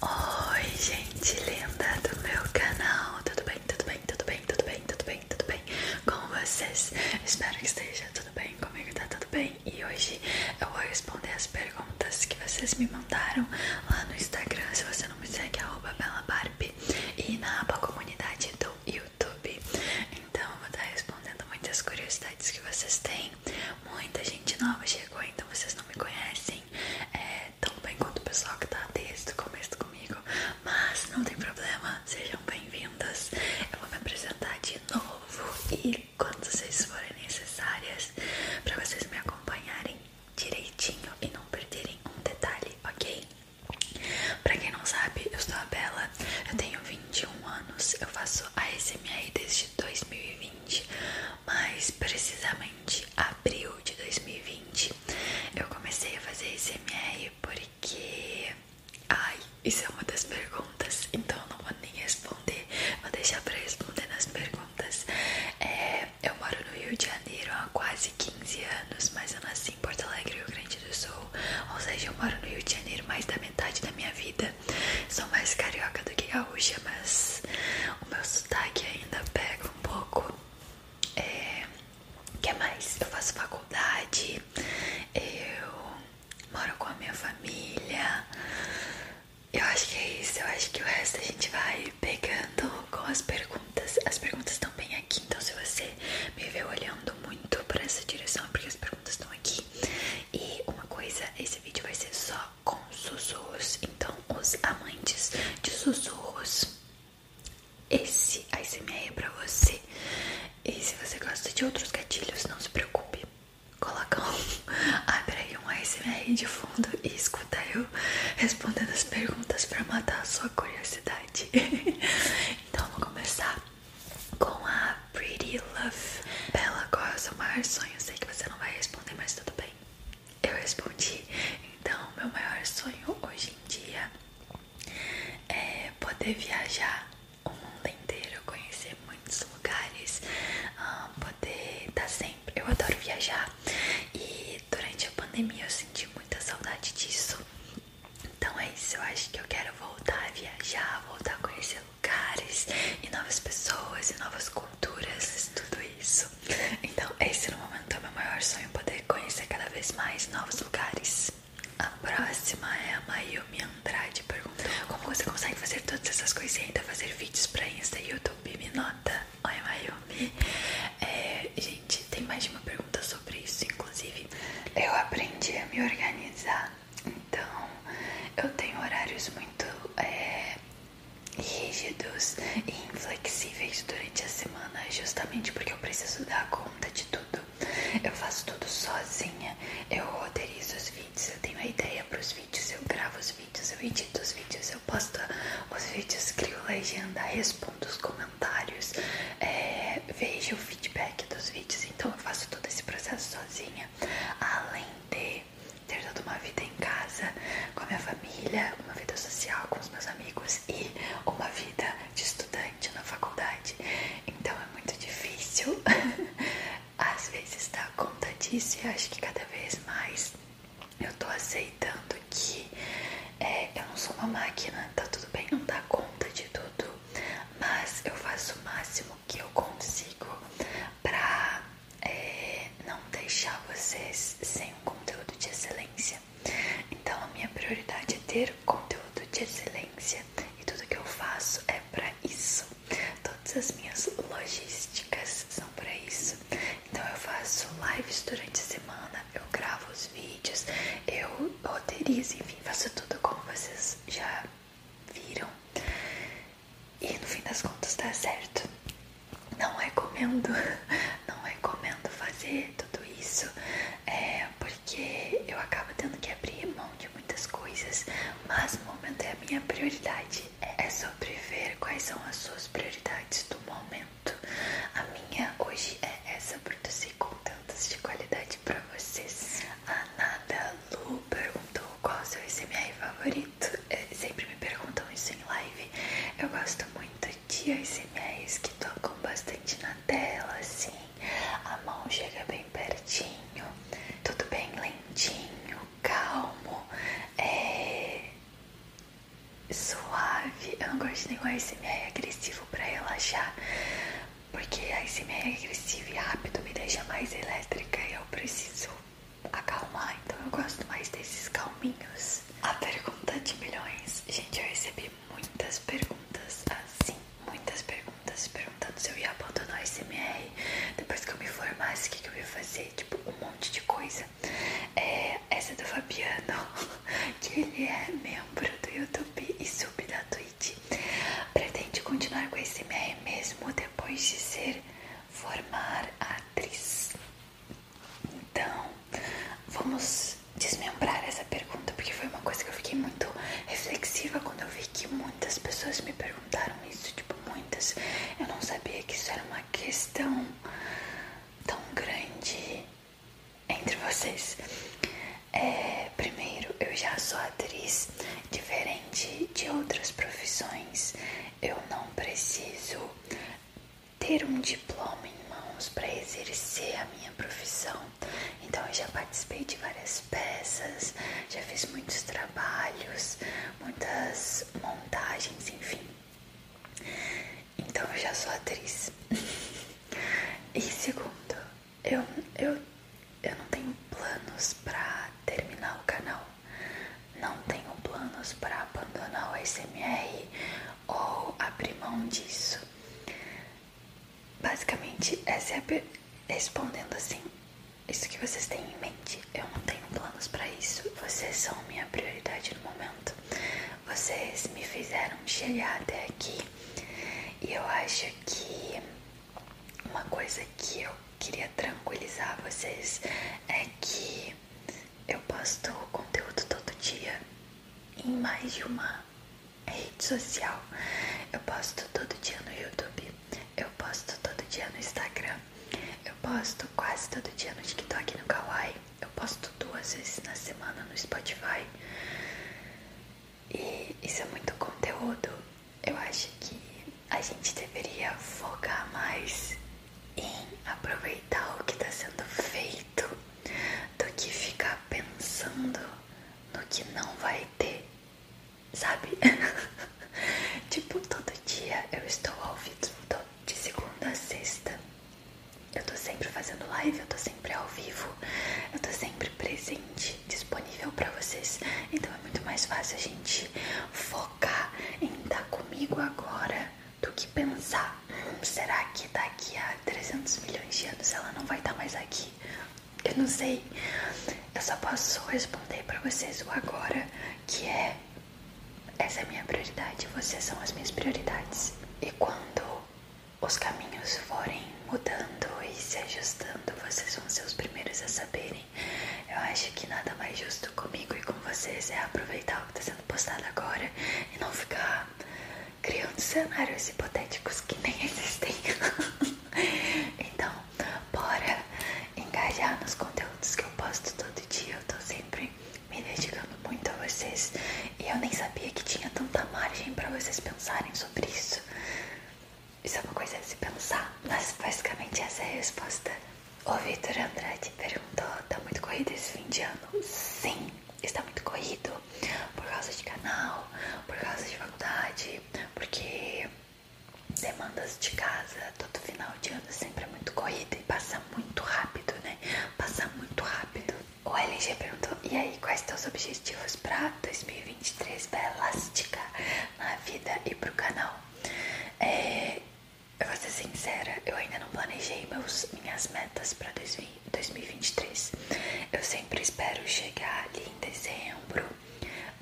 Oi gente linda do meu canal, tudo bem, tudo bem, tudo bem, tudo bem, tudo bem, tudo bem com vocês? Espero que esteja tudo bem, comigo tá tudo bem e hoje eu vou responder as perguntas que vocês me mandaram lá no Instagram, se você não me segue, é arroba e na aba comunidade do YouTube, então eu vou estar respondendo muitas curiosidades que vocês têm Muita gente nova chegou, então vocês não me conhecem é, tão bem quanto o pessoal que tá desde o começo comigo. Mas não tem problema, sejam bem-vindas. Eu vou me apresentar de novo e quando vocês forem necessárias, para vocês me acompanharem direitinho e não perderem um detalhe, ok? Pra quem não sabe, eu sou a Bela, eu tenho 21 anos, eu faço a ASMR desde 2020, mas precisamente durante abril de 2020 eu comecei a fazer SMR porque. Ai, isso é uma das perguntas, então eu não vou nem responder, vou deixar pra responder nas perguntas. É, eu moro no Rio de Janeiro há quase 15 anos, mas eu nasci em Porto Alegre, Rio Grande do Sul. Ou seja, eu moro no Rio de Janeiro mais da metade da minha vida. Sou mais carioca do que gaúcha, mas o meu sotaque ainda pega um pouco. É, que mais? Eu faço faculdade, eu moro com a minha família. Eu acho que é isso. Eu acho que o resto a gente vai pegando com as perguntas. As perguntas estão bem aqui, então se você me vê olhando muito para essa direção, é porque as perguntas estão aqui. E uma coisa, esse vídeo vai ser só com sussurros. Então, os amantes de sussurros, esse ASMR é pra você. E se você gosta de outros gatilhos, não se preocupe. Coloca um, aí um ASMR de fundo e escuta eu respondendo as perguntas pra matar a sua curiosidade. então, vamos começar com a Pretty Love. Bela, qual é o seu maior sonho? sei que você não vai responder, mas tudo bem. Eu respondi. Então, meu maior sonho hoje em dia é poder viajar o mundo inteiro, conhecer muitos lugares, ah, poder estar tá sempre. Eu adoro viajar e durante a pandemia eu senti muita saudade disso. Então é isso, eu acho que eu quero voltar a viajar, voltar a conhecer lugares e novas pessoas e novas coisas culturas, tudo isso. Então, esse no momento é o meu maior sonho, poder conhecer cada vez mais novos lugares. A próxima é a Mayumi Andrade perguntou Como você consegue fazer todas essas coisas e ainda fazer vídeos pra Insta e YouTube? Me nota! Oi Mayumi! É, gente, tem mais de uma pergunta sobre isso, inclusive Eu aprendi a me organizar Então, eu tenho horários muito é, rígidos e inflexíveis durante a semana, justamente porque eu preciso dar conta de tudo. Eu faço tudo sozinha, eu roteirizo os vídeos, eu tenho a ideia para os vídeos, eu gravo os vídeos, eu edito os vídeos, eu posto os vídeos, crio legenda, respondo os comentários, é, vejo o feedback dos vídeos, então eu faço todo esse processo sozinha. Além de ter toda uma vida em casa, com a minha família, uma vida social com os meus amigos e uma vida de estudante na faculdade. Então é muito difícil, às vezes dar conta disso e acho que cada vez mais eu tô aceitando que é, eu não sou uma máquina, tá tudo bem não dar conta de tudo, mas eu faço o máximo que eu consigo pra é, não deixar vocês sem um conteúdo de excelência. Então, a minha prioridade é ter conteúdo de excelência e tudo que eu faço é para isso. Todas as minhas logísticas são para isso. Então, eu faço lives durante a semana, eu gravo os vídeos, eu roteirizo, enfim, faço tudo como vocês já viram. E no fim das contas tá certo. Não recomendo, não recomendo fazer tudo isso, é, porque eu acabo tendo que abrir mão de muitas coisas, mas no momento é a minha prioridade. É sobre ver quais são as suas prioridades do momento. A minha hoje é essa produzir contentos de qualidade para vocês. A nada luber, qual o seu SMR favorito. É, sempre me perguntam isso em live. Eu gosto muito de ASMRs que tocam bastante na tela, assim. A mão chega bem pertinho, tudo bem lentinho, calmo, é, suave. Eu não gosto de nenhum ASMR agressivo para relaxar. Porque a ASMR agressiva e rápido me deixa mais elétrica e eu preciso acalmar, então eu gosto mais desses calminhos. A pergunta de milhões. Gente, eu recebi muitas perguntas assim, muitas perguntas perguntando se eu ia abandonar o SMR depois que eu me formasse, o que, eu ia fazer, tipo, um monte de coisa. É, essa é do Fabiano, que ele é membro do YouTube e sub da Twitch. Pretende continuar com o SMR mesmo depois de ser formar atriz. Então, vamos desmembrar essa pergunta, porque foi uma coisa que eu fiquei muito reflexiva quando eu vi que muitas pessoas me perguntaram isso, tipo, muitas. Eu não sabia que isso era uma questão tão grande entre vocês. É, primeiro, eu já sou atriz, diferente de outras profissões eu não preciso ter um diploma em mãos para exercer a minha profissão. Então eu já participei de várias peças, já fiz muitos trabalhos, muitas montagens, enfim. Então eu já sou atriz. e segundo, eu, eu, eu não tenho planos para terminar o canal. Não tenho planos para abandonar o SMR ou abrir mão disso. Basicamente, é sempre respondendo assim: Isso que vocês têm em mente, eu não tenho planos para isso. Vocês são minha prioridade no momento. Vocês me fizeram chegar até aqui e eu acho que uma coisa que eu queria tranquilizar vocês é que eu posto conteúdo todo dia em mais de uma rede social. Eu posto todo dia no YouTube, eu posto todo dia no Instagram, eu posto quase todo dia no TikTok e no Kawaii, eu posto duas vezes na semana no Spotify. E isso é muito conteúdo eu acho que a gente deveria focar mais em aproveitar o que está sendo feito do que ficar pensando no que não vai ter, sabe? tipo, todo dia eu estou ao vivo, de segunda a sexta. Eu tô sempre fazendo live, eu tô sempre ao vivo, eu tô sempre presente, disponível para vocês. Então é muito mais fácil a gente focar focar em estar comigo agora do que pensar. será que daqui a 300 milhões de anos ela não vai estar tá mais aqui? Eu não sei. Eu só posso responder para vocês o agora, que é essa é minha prioridade, vocês são as minhas prioridades. E quando os caminhos forem mudando e se ajustando, vocês vão ser os primeiros a saberem eu acho que nada mais justo comigo e com vocês é aproveitar o que está sendo postado agora e não ficar criando cenários hipotéticos que nem existem. então, bora engajar nos conteúdos que eu posto todo dia. Eu estou sempre me dedicando muito a vocês e eu nem sabia que tinha tanta margem para vocês pensarem sobre isso. Isso é uma coisa de se pensar, mas basicamente essa é a resposta. O Vitor Andrade perguntou: tá muito corrido esse fim de ano? Sim, está muito corrido. Por causa de canal, por causa de faculdade, porque demandas de casa, todo final de ano é sempre é muito corrido e passa muito rápido, né? Passa muito rápido. O LG perguntou: e aí, quais são os objetivos para 2023 para Elástica na vida e pro canal? É, eu vou ser sincera, eu ainda não planejei minhas metas para 2023. Eu sempre espero chegar ali em dezembro,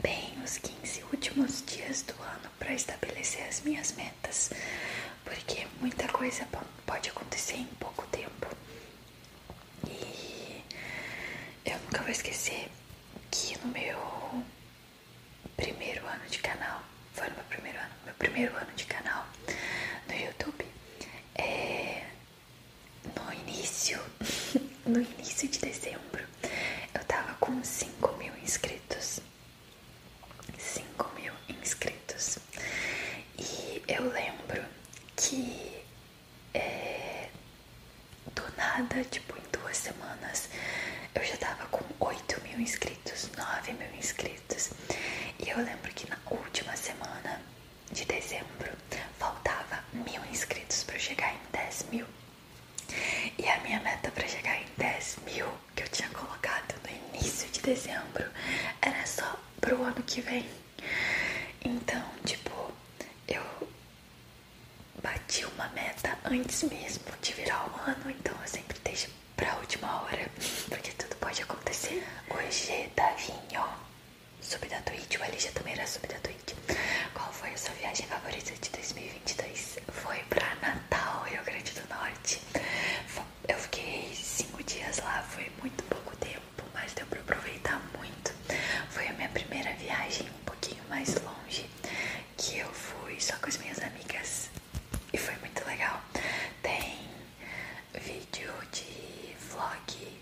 bem os 15 últimos dias do ano, para estabelecer as minhas metas, porque muita coisa pode acontecer em pouco tempo. E eu nunca vou esquecer que no meu primeiro ano de canal, foi no meu primeiro ano, meu primeiro ano de canal no YouTube, é, no início, no início de dezembro, eu tava com 5 mil inscritos, 5 mil inscritos, e eu lembro que é, do nada, tipo, em duas semanas, eu já tava com 8 mil inscritos, 9 mil inscritos. E eu lembro que na última semana de dezembro faltava mil inscritos para chegar em 10 mil. E a minha meta para chegar em 10 mil que eu tinha colocado no início de dezembro era só pro ano que vem. Então, tipo, eu bati uma meta antes mesmo de virar o ano, então eu sempre deixo pra última hora, porque tudo pode acontecer. O Hoje, Davinho, sub da Twitch, o LG também era sub da Twitch. Qual foi a sua viagem favorita de 2022? Foi pra Natal, Rio Grande do Norte. Eu fiquei cinco dias lá, foi muito pouco tempo, mas deu pra aproveitar muito. Foi a minha primeira viagem um pouquinho mais longe que eu fui só com as minhas amigas e foi muito legal. Tem vídeo de vlog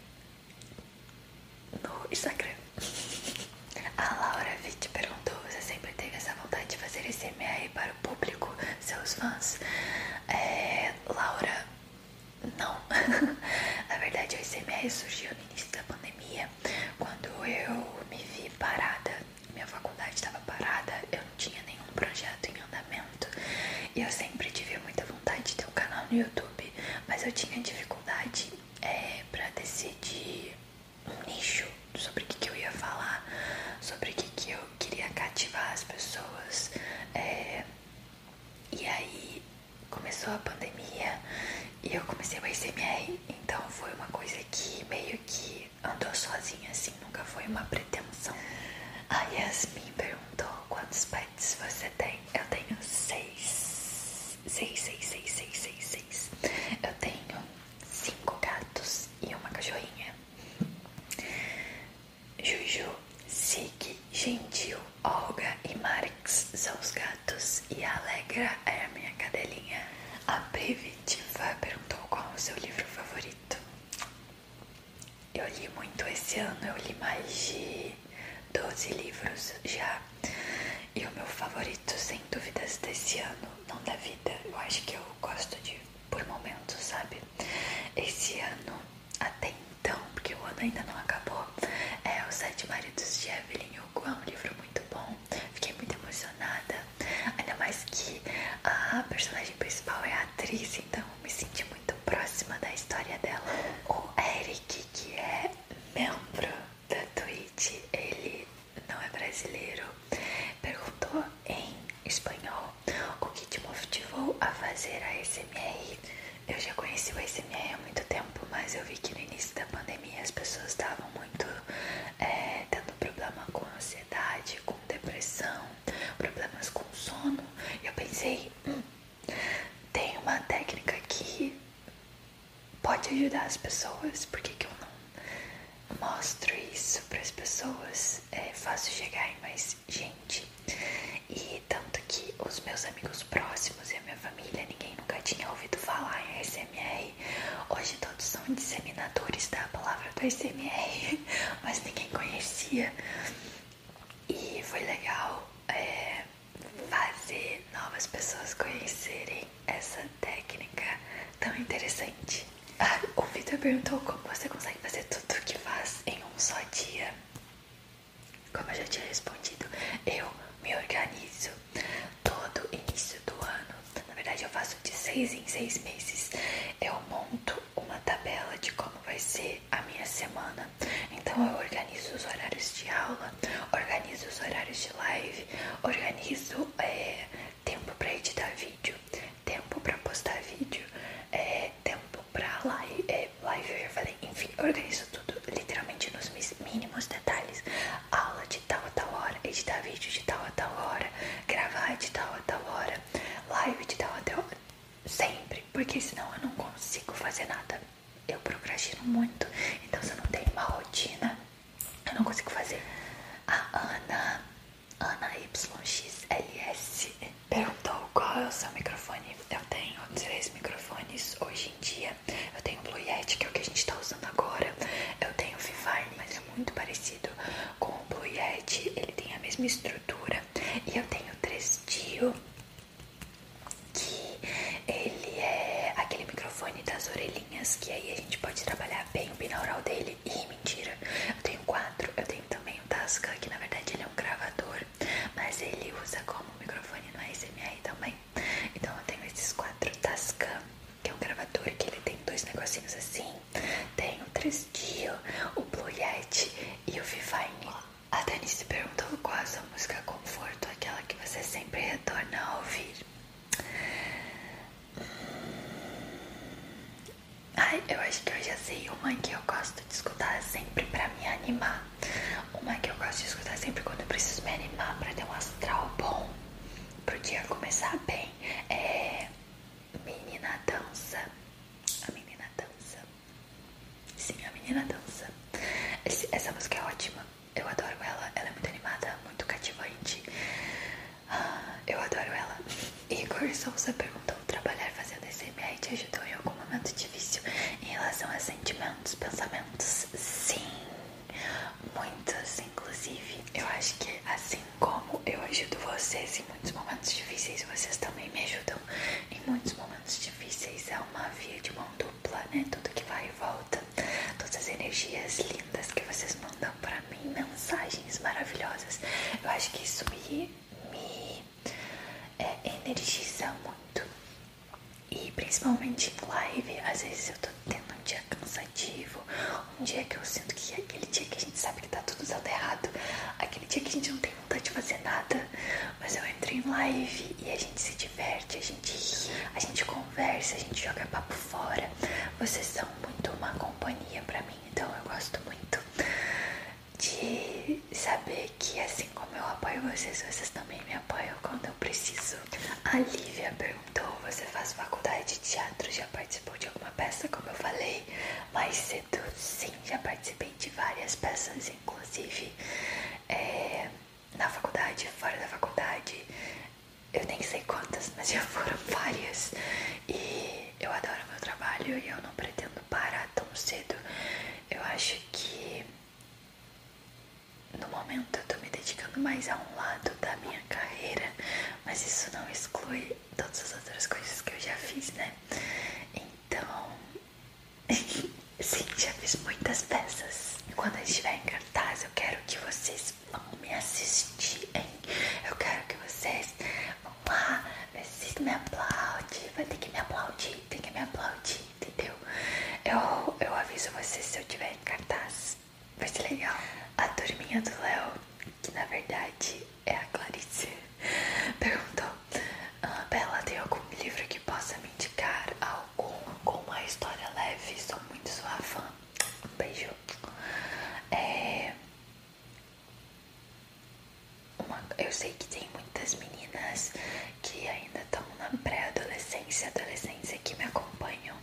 no Instagram. A Laura Vitt perguntou: Você sempre teve essa vontade de fazer SMR para o público, seus fãs? É, Laura, não. Na verdade, o SMR surgiu no início da pandemia quando eu me vi parada, minha faculdade estava parada, eu não tinha nenhum projeto em andamento e eu sempre tive muita vontade de ter um canal no YouTube, mas eu tinha dificuldade é, para decidir um nicho sobre o que, eu ia falar, sobre o que, que eu queria cativar as pessoas. É. e aí começou a pandemia e eu comecei o ICMR então foi uma coisa que meio que andou sozinha, assim, nunca foi uma pretensão. A Yasmin perguntou quantos pets você tem. Eu tenho seis. Seis, seis, seis, seis, seis, seis. Eu tenho cinco gatos e uma cachorrinha. Juju, Sig, Gentil, Olga e Marx são os gatos e a Alegra é a minha cadelinha. A Privitiva perguntou qual o seu livro favorito. Eu li muito esse ano, eu li mais de 12 livros já. E o meu favorito, sem dúvidas, desse ano, não da vida, eu acho que eu gosto de por momentos, sabe? Esse ano, até então, porque o ano ainda não acabou, é Os Sete Maridos de Evelyn Hugo é um livro muito bom, fiquei muito emocionada, ainda mais que a personagem principal é a atriz, então me senti muito próxima da história dela. O Eric, que é membro da Twitch, ele não é brasileiro, perguntou em espanhol o que te motivou a fazer a SMR. Eu já conheci a SMR há muito tempo, mas eu vi que no início da pandemia as pessoas estavam muito muito é, tendo problema com ansiedade, com depressão, problemas com sono. eu pensei, hum, tem uma técnica que pode ajudar as pessoas, por que, que eu não mostro isso para as pessoas? É fácil chegar em mais gente. E tanto que os meus amigos próximos e a minha família, ninguém nunca tinha ouvido falar em SMR. Hoje todos são disseminadores da palavra do SMR, mas ninguém conhecia. E foi legal é, fazer novas pessoas conhecerem essa técnica tão interessante. Ah, o Vitor perguntou como você consegue fazer tudo o que faz em um só dia. Como eu já tinha respondido, eu me organizo Todo início do ano, na verdade eu faço de seis em seis meses, eu monto uma tabela de como vai ser a minha semana. Então eu organizo os horários de aula, organizo os horários de live, organizo é, tempo para editar vídeo, tempo para postar vídeo, é, tempo para live, é, live eu já falei, enfim, organizo tudo literalmente nos mínimos detalhes aula de tal a tal hora, editar vídeo de tal a tal hora, gravar de tal a tal hora, live de tal a tal hora. Sempre, porque senão eu não consigo fazer nada. Eu procrastino muito, então se eu não tenho uma rotina, eu não consigo fazer. A Ana, Ana YXLS, perguntou qual é o seu microfone. Eu tenho três microfones hoje dia. Eu tenho Blue Yeti, que é o que a gente tá usando agora. Eu tenho o Vivine, mas é muito parecido com o Blue Yeti. Ele tem a mesma estrutura. E eu tenho 3Dio, que ele é aquele microfone das orelhinhas, que aí a gente pode trabalhar bem o binaural dele. E mentira, eu tenho quatro. Eu tenho também o Tasca, que na verdade ele é um gravador, mas ele usa como microfone no ASMR também. Então eu tenho esses quatro Tascam, que é um gravador que ele tem dois negocinhos assim. Tem o 3 o Blue Yeti e o Vivine. A Denise perguntou qual a sua música conforto, aquela que você sempre retorna a ouvir. Hum. Ai, eu acho que eu já sei uma que eu gosto de escutar sempre pra me animar. Uma que eu gosto de escutar sempre quando eu preciso me animar pra ter um astral bom. Porque dia começar bem. É. Menina dança. A menina dança. Sim, a menina dança. essa música é ótima. Eu adoro ela. Ela é muito animada, muito cativante. Ah, eu adoro ela. Igor Souza perguntou: trabalhar fazendo SMR te ajudou em algum momento difícil em relação a sentimentos, pensamentos? Sim muitas inclusive. Eu acho que assim como eu ajudo vocês em muitos momentos difíceis, vocês também me ajudam em muitos momentos difíceis. É uma via de mão dupla, né? Tudo que vai e volta. Todas as energias lindas que vocês mandam para mim, mensagens maravilhosas. Eu acho que isso me, é, energiza muito. E principalmente em live, às vezes eu tô tendo um dia cansativo, um dia que eu sinto que é aquele dia que a gente sabe que tá tudo dando errado, aquele dia que a gente não tem vontade de fazer nada, mas eu entro em live e a gente se diverte, a gente ri, a gente conversa, a gente joga papo fora. Vocês são muito uma companhia para mim, então eu gosto muito de saber que assim como eu apoio vocês, vocês também me apoiam quando eu preciso. A Lívia perguntou, você faz faculdade de teatro, já participou de alguma peça, como eu falei mais cedo? Sim, já participei de várias peças, inclusive é, na faculdade, fora da faculdade, eu nem sei quantas, mas já foram várias. E eu adoro meu trabalho e eu não pretendo parar tão cedo. Eu acho que no momento eu tô me dedicando mais a um lado da minha carreira, mas isso não exclui todas as outras coisas que eu já fiz, né? Então, sim, já fiz muitas peças. E quando eu estiver em cartaz, eu quero que vocês vão me assistirem. Eu quero que vocês vão lá, assistam, me aplaudem. Vai ter que me aplaudir, tem que me aplaudir, entendeu? Eu, eu aviso vocês se eu estiver em cartaz. Vai ser legal. A turminha do Léo, que na verdade é a Clarice, perguntou: ah, tem algum livro que possa me indicar? Algum com uma história leve? Sou muito sua fã. Um beijo. É, eu sei que tem muitas meninas que ainda estão na pré-adolescência, adolescência que me acompanham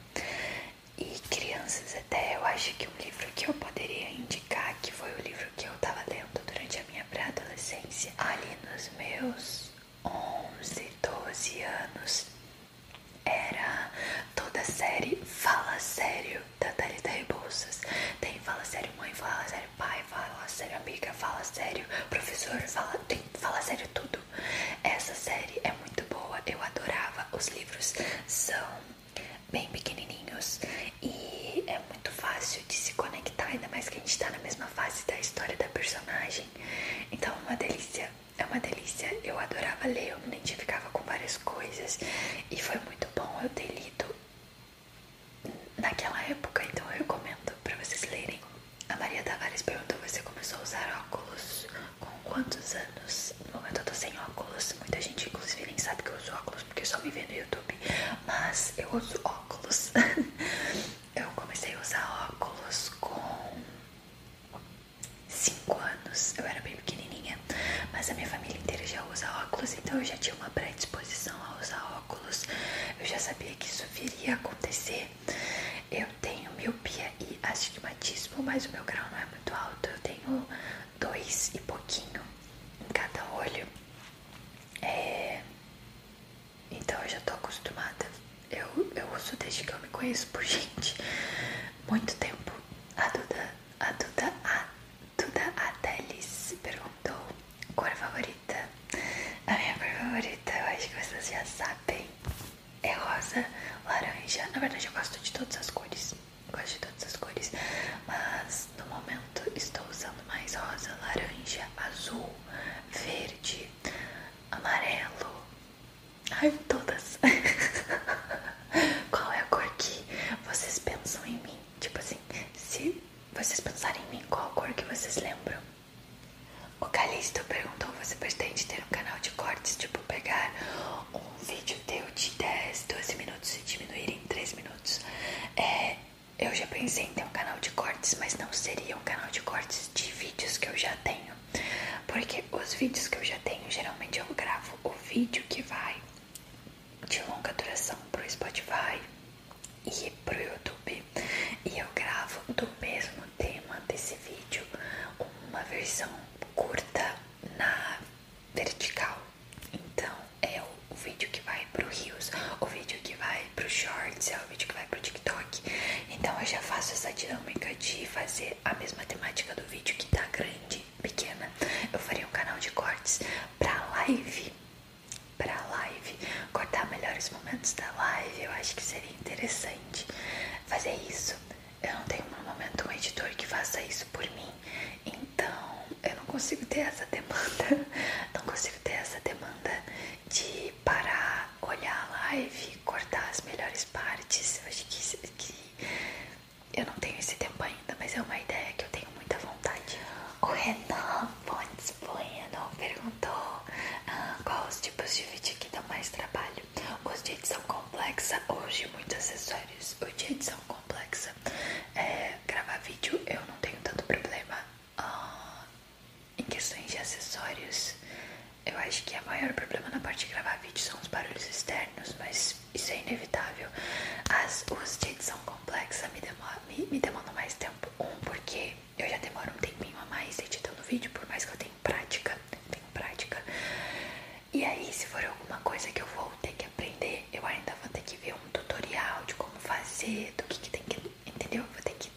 e crianças, até eu acho que um livro que eu poderia indicar, que foi o livro que eu tava lendo durante a minha pré-adolescência, ali nos meus 11, 12 anos, era toda a série Fala Sério da Thalita Rebouças. Tem Fala Sério Mãe, Fala Sério Pai, Fala Sério Amiga, Fala Sério Professor, Fala, tem, fala Sério Tudo. Essa série é muito boa, eu adorava. Os livros são bem pequenininhos e é muito fácil de se conectar, ainda mais que a gente está na mesma fase da história da personagem. Então é uma delícia, é uma delícia. Eu adorava ler, eu me identificava com várias coisas e foi muito bom eu ter lido naquela época, então eu recomendo para vocês lerem. A Maria Tavares perguntou: Você começou a usar óculos com quantos anos? No momento eu tô sem óculos. Muita gente, inclusive, nem sabe que eu uso óculos porque só me vê no YouTube. Mas eu uso óculos. eu comecei a usar óculos com 5 anos. Eu era bem pequenininha, mas a minha família inteira já usa óculos, então eu já tinha uma predisposição a usar óculos. Eu já sabia que isso viria a acontecer eu tenho miopia e astigmatismo, mas o meu grau não é muito alto. Eu tenho dois e pouquinho em cada olho. É, então eu já tô acostumada. Eu, eu uso desde que eu me conheço por gente. Muito tempo. A Duda, a Duda, a Duda Adelis perguntou cor favorita. A minha cor favorita, eu acho que vocês já sabem é rosa, laranja. Na verdade, eu gosto de todas as cores. Gosto de todas as cores. Mas no momento estou usando mais rosa, laranja, azul, verde, amarelo. Ai, todas. qual é a cor que vocês pensam em mim? Tipo assim, se vocês pensarem em mim, qual a cor que vocês lembram? O Calixto perguntou: Você pretende ter um canal de cortes? Tipo, pegar um vídeo teu de 10, 12 minutos e diminuir em 3 minutos? É, eu já pensei em ter um canal de cortes, mas não seria um canal de cortes de vídeos que eu já tenho. Porque os vídeos que eu já tenho, geralmente eu gravo o vídeo que vai de longa duração pro Spotify e pro YouTube e eu gravo do mesmo tema desse vídeo uma versão curta na vertical. Então é o vídeo que vai pro Rios, o vídeo que vai pro Shorts, é o vídeo que vai pro TikTok. Então eu já faço essa dinâmica de fazer a mesma temática do vídeo que tá grande, pequena. Eu faria um canal de cortes pra live para live, cortar melhores momentos da live, eu acho que seria interessante fazer é isso. Eu não tenho no momento um editor que faça isso por mim, então eu não consigo ter essa demanda, não consigo ter essa demanda de parar, olhar a live, cortar as melhores partes. Eu acho que, eu não tenho esse tempo ainda, mas é uma ideia que eu tenho muita vontade. O Renan Fontes Bueno perguntou ah, quais os tipos de dividir que dá mais trabalho. Os de edição complexa, hoje muitos acessórios. os de edição complexa, é, gravar vídeo eu não tenho tanto problema. Ah, em questões de acessórios, eu acho que o é maior problema na parte de gravar vídeo são os barulhos externos, mas isso é inevitável. As, os de edição complexa me, demora, me, me demandam mais tempo. Um, porque eu já demoro um tempinho a mais editando o vídeo, por mais que eu tenha prática, tenho prática. E aí, se for alguma coisa que eu vou ter que aprender, eu ainda vou ter que ver um tutorial de como fazer, do que, que tem que, entendeu? Vou ter que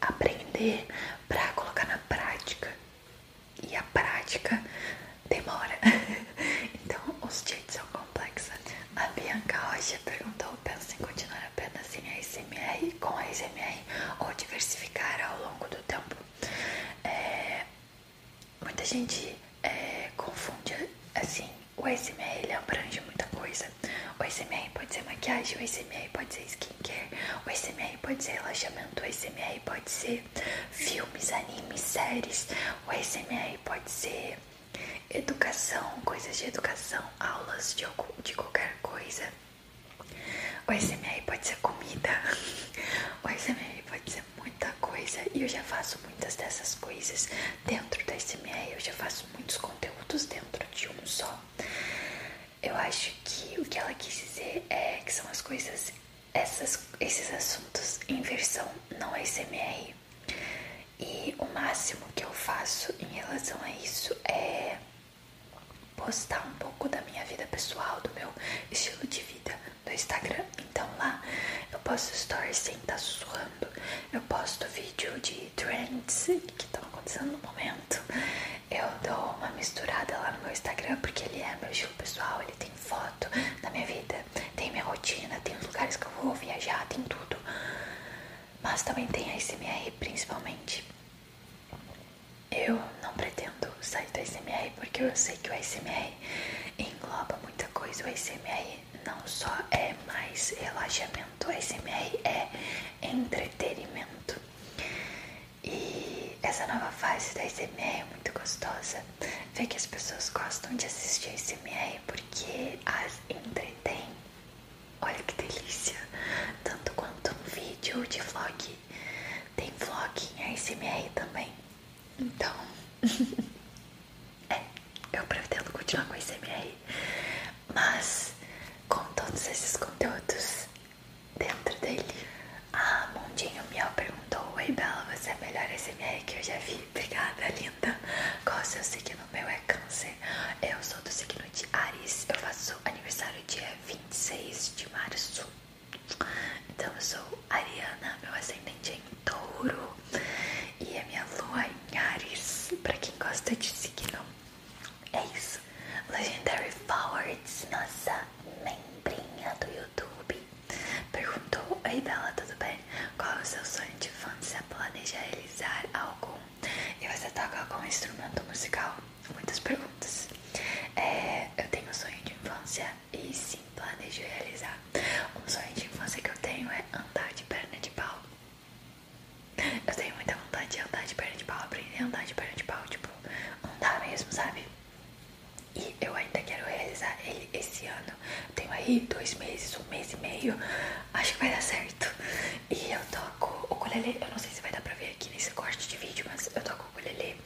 aprender pra colocar na prática. E a prática demora. então, os dias são complexos. A Bianca Rocha perguntou: pensa em continuar apenas apenas em ASMR com SMR ou diversificar ao longo do tempo. É, muita gente é, confunde assim, o ASMR ele abrange muita coisa. O SMR pode ser maquiagem, o SMR pode ser skincare, o SMR pode ser relaxamento, o SMR pode ser filmes, animes, séries, o SMR pode ser educação, coisas de educação, aulas de, de qualquer coisa. O SMR pode ser comida, o SMR pode ser muita coisa e eu já faço muitas dessas coisas dentro do SMR, eu já faço muitos conteúdos dentro de um só. Eu acho que o que ela quis dizer é que são as coisas, esses assuntos em versão não SMR. E o máximo que eu faço em relação a isso é postar um pouco da minha vida pessoal, do meu estilo de vida no Instagram. Então lá eu posso stories sem estar tá suando, eu posto vídeo de trends que estão acontecendo no momento. Eu dou uma misturada lá no meu Instagram porque ele é meu estilo pessoal, ele tem foto da minha vida, tem minha rotina, tem os lugares que eu vou viajar, tem tudo. Mas também tem a SMR principalmente. Eu não pretendo sair do ASMR porque eu sei que o ASMR engloba muita coisa. O ASMR não só é mais relaxamento, o ASMR é entretenimento. E essa nova fase da ASMR é muito gostosa. Ver que as pessoas gostam de assistir ASMR porque as entretém. Olha que delícia! Tanto quanto um vídeo de vlog, tem vlog em ASMR também. Então, é, eu pretendo continuar com ASMR, mas com todos esses conteúdos dentro dele. Ah, Mundinho Miel perguntou: Oi, Bela, você é a melhor ASMR que eu já vi? Obrigada, linda. Qual o seu signo? Meu é Câncer. Eu sou do signo de Ares. Eu faço aniversário aniversário dia 26 de março. Então eu sou Ariana, meu ascendente é em touro e a minha lua é em Ares. Pra quem gosta de signo, é isso. Legendary Forwards, nossa membrinha do YouTube, perguntou: Ei dela tudo bem? Qual é o seu sonho de fã se infância? Planeja realizar algum? E você toca com um instrumento musical? Muitas perguntas. É, eu tenho um sonho de infância e sim planejo realizar. Um sonho de infância que eu tenho é andar de perna de pau. Eu tenho muita vontade de andar de perna de pau, aprender a andar de perna de pau, tipo, andar mesmo, sabe? E eu ainda quero realizar ele esse ano. tenho aí dois meses, um mês e meio. Acho que vai dar certo. E eu toco o ukulele, eu não sei se vai dar pra ver aqui nesse corte de vídeo, mas eu toco o ukulele.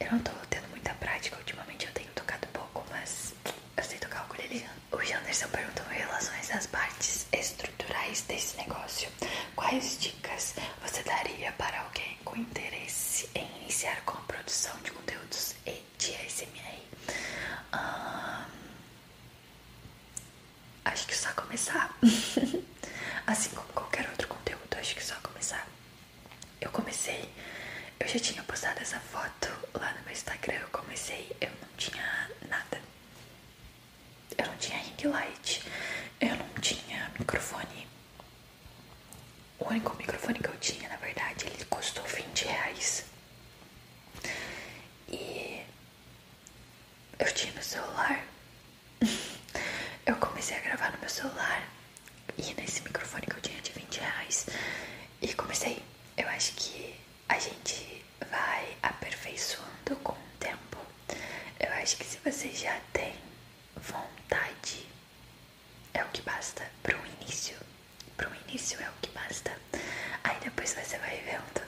Eu não tô tendo muita prática, ultimamente eu tenho tocado pouco, mas eu sei tocar o ukulele. O Janderson perguntou em relação às partes estruturais desse negócio. Quais dicas você daria para alguém com interesse em iniciar com a produção de conteúdos e de ASMR? Um, Acho que só começar. assim como qualquer outro conteúdo, acho que só começar. Eu comecei, eu já tinha postado essa foto lá no meu Instagram. Eu comecei, eu não tinha nada. Eu não tinha ring light, eu não tinha microfone. O único microfone que eu tinha, na verdade, ele custou 20 reais. E eu tinha no celular eu comecei a gravar no meu celular e nesse microfone que eu tinha de 20 reais e comecei. Eu acho que a gente vai aperfeiçoando com o tempo. Eu acho que se você já tem vontade, é o que basta para um início. Para um início é o que basta. Aí depois você vai vendo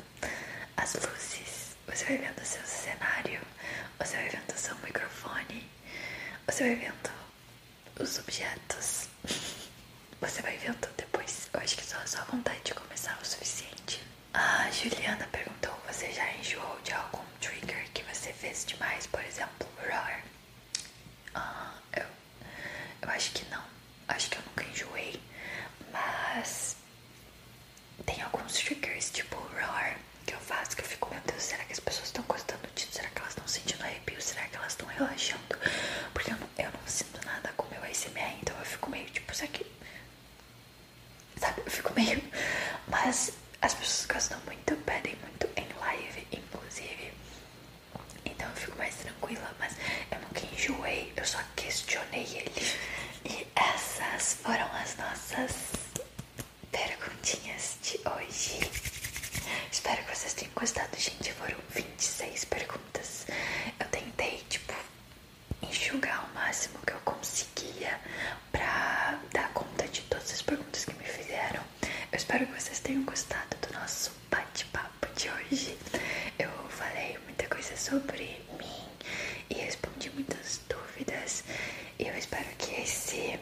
as luzes você vai vendo o seu é cenário, você vai vendo o seu é microfone, você vai vendo os objetos, você vai vendo depois. Eu acho que só a vontade de começar é o suficiente. A Juliana perguntou: você já enjoou de algum trigger que você fez demais, por exemplo, roar? Ah, eu, eu acho que não. Acho que eu nunca enjoei, mas tem alguns triggers, tipo roar, que eu faço que eu fico, meu Deus, será que as pessoas estão gostando disso? Será que elas estão sentindo arrepio? Será que elas estão relaxando? Porque eu não, eu não sinto nada com o meu ASMR, então eu fico meio tipo, isso aqui. Sabe? Eu fico meio. Mas as pessoas gostam muito, pedem muito em live, inclusive. Então eu fico mais tranquila, mas eu nunca enjoei, eu só questionei ele. E e essas foram as nossas perguntinhas de hoje. Espero que vocês tenham gostado, gente. Foram 26 perguntas. Eu tentei, tipo, enxugar o máximo que eu conseguia pra dar conta de todas as perguntas que me fizeram. Eu espero que vocês tenham gostado do nosso bate-papo de hoje. Eu falei muita coisa sobre mim e respondi muitas dúvidas. e Eu espero que esse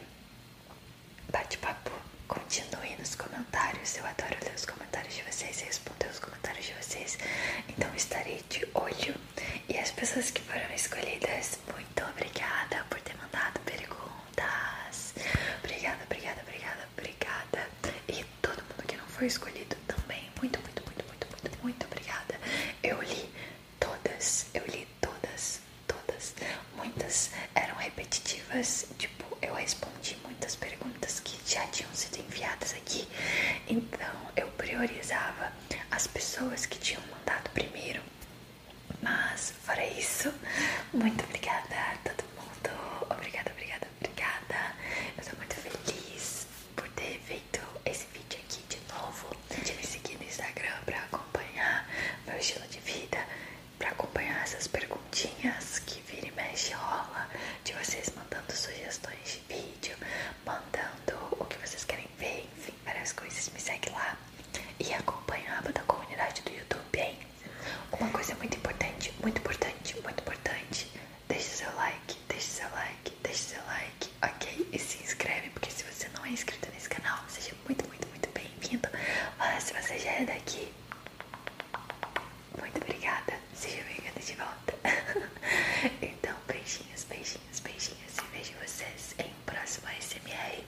bate-papo continue nos comentários. Eu adoro ler os comentários de vocês e responder os comentários de vocês. Então estarei de olho. E as pessoas que foram escolhidas, muito obrigada por ter mandado perguntas. Obrigada, obrigada, obrigada, obrigada. E todo mundo que não foi escolhido também, muito, muito, muito muito, muito, muito, obrigada. Eu li todas, eu li todas, todas. Muitas eram repetitivas, tipo, eu respondi muitas perguntas que já tinham sido enviadas aqui. Então, eu priorizava as pessoas que tinham mandado primeiro. Mas, fora isso, muito obrigada a todo mundo. Obrigada, obrigada, obrigada. Eu tô muito feliz por ter feito feito esse vídeo aqui de novo. De me seguir no Instagram pra acompanhar meu estilo de vida, pra acompanhar essas perguntinhas que vira e mexe rola, de vocês mandando sugestões de vídeo, mandando o que vocês querem ver, enfim, várias coisas. Me segue lá e acompanha a aba comunidade do YouTube, hein? Uma coisa muito importante, muito importante, muito importante Deixe seu like, deixe seu like, deixe seu like, ok? E se inscreve, porque se você não é inscrito nesse canal, seja muito, muito, muito bem-vindo. Olha, se você já é daqui, muito obrigada. Seja bem vinda de volta. então, beijinhos, beijinhos, beijinhos. E vejo vocês em um próximo ASMR.